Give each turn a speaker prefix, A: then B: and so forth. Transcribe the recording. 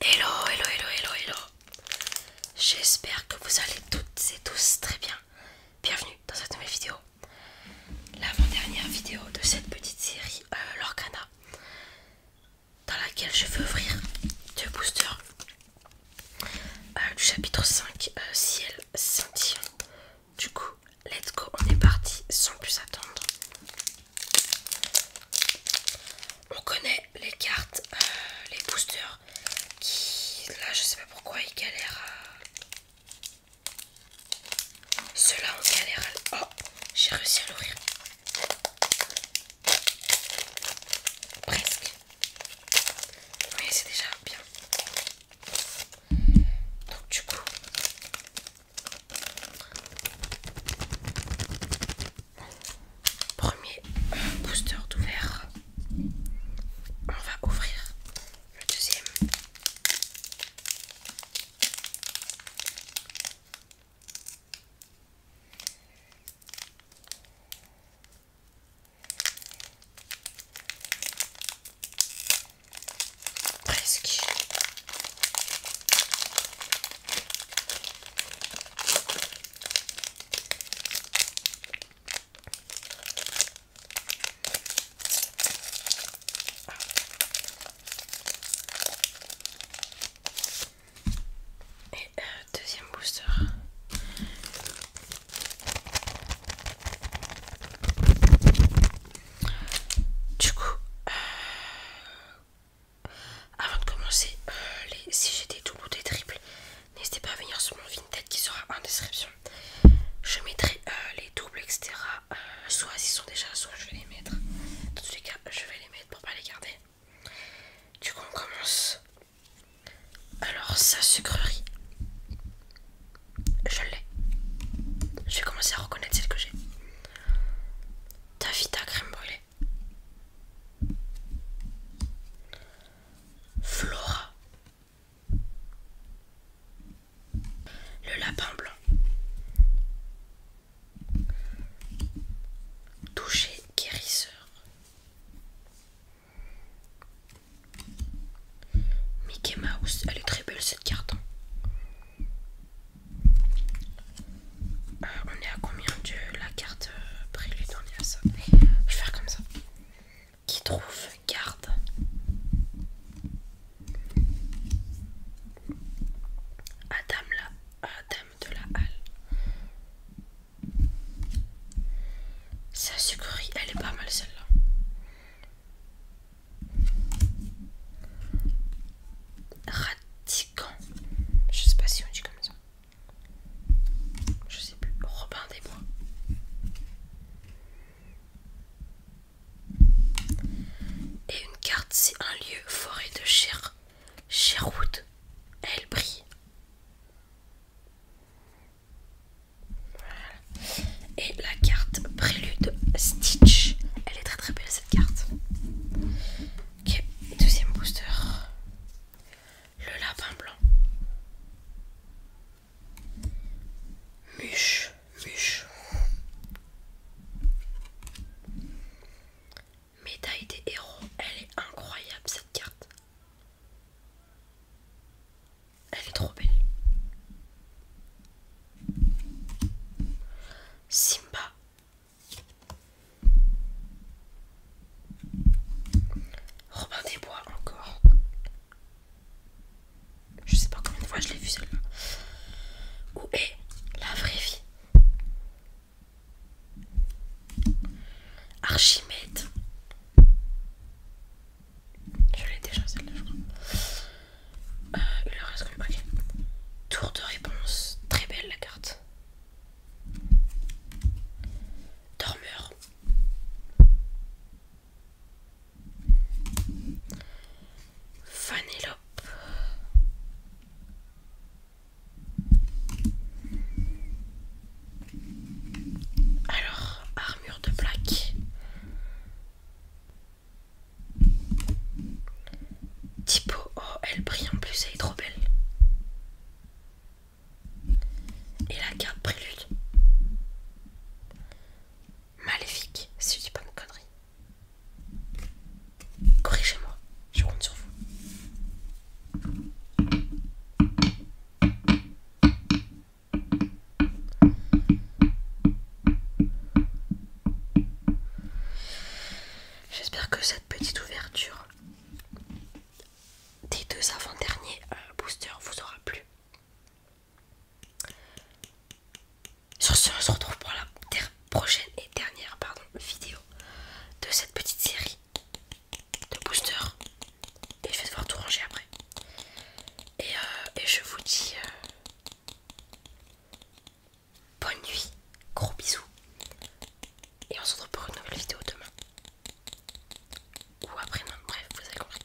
A: Hello, hello, hello, hello, hello. J'espère que vous allez toutes et tous très bien. Bienvenue dans cette nouvelle vidéo. L'avant-dernière vidéo de cette petite série l'organa euh, Lorcana dans laquelle je veux ouvrir deux boosters euh, du chapitre 5 euh, Ciel scintillant du coup, let's go, on est parti sans plus attendre. On connaît les cartes, euh, les boosters qui, là, je sais pas pourquoi ils galèrent à. Ceux-là, on galère à. Oh, j'ai réussi à l'ouvrir. Presque. Oui, c'est déjà bien. Donc du coup, premier booster d'ouvert, on va ouvrir le deuxième. Presque. Et euh, deuxième booster. Du coup, euh, avant de commencer, euh, les, si j'ai des doubles ou des triples, n'hésitez pas à venir sur mon tête qui sera en description. Je mettrai euh, les doubles, etc. soit ils sont déjà, soit je vais les mettre. Dans tous les cas, je vais les mettre pour pas les garder. Du coup, on commence. Alors, sa sucrerie. Je l'ai. Je vais commencer à reconnaître celle que j'ai. vita crème brûlée. Flora. Le lapin blanc. Toucher guérisseur. Mickey Mouse, elle est très belle cette carte. Euh, on est à combien de la carte euh, prélude On est à ça. Je vais faire comme ça. Qui trouve garde Adam la Adam de la Halle. Sa sucrerie, elle est pas mal celle-là. Ratican, Je sais pas si on dit comme ça. Je sais plus. Robin des Bois. Et une carte, c'est un lieu, forêt de Cher Sherwood. Elle brille. Et la carte Prélude Stitch. Elle est très très belle cette carte. deuxième booster. Le lapin blanc. Miche, muche. Médaille des héros. Elle est incroyable cette carte. Elle est trop belle. Simba. Robin des Bois encore. Je sais pas combien de fois je l'ai vu celle-là. Où est la vraie vie Archimède. Je l'ai déjà celle-là, je crois. Euh, il leur reste comme okay. Tour de réponse. Très belle la carte. Dormeur. Fanelope. Alors, armure de plaque. Tipo, oh, elle brille en plus, elle est trop belle. Et la carte prélude. Maléfique, si je dis pas de conneries. Corrigez-moi, je compte sur vous. J'espère que cette petite ouverture des deux avant-derniers euh, boosters vous aura plu. Sur ce, on se retrouve pour la prochaine et dernière vidéo de cette petite série de booster et je vais devoir tout ranger après. Et, euh, je vous dis euh, bonne nuit, gros bisous et on se retrouve pour une nouvelle vidéo demain ou après non, bref vous avez compris.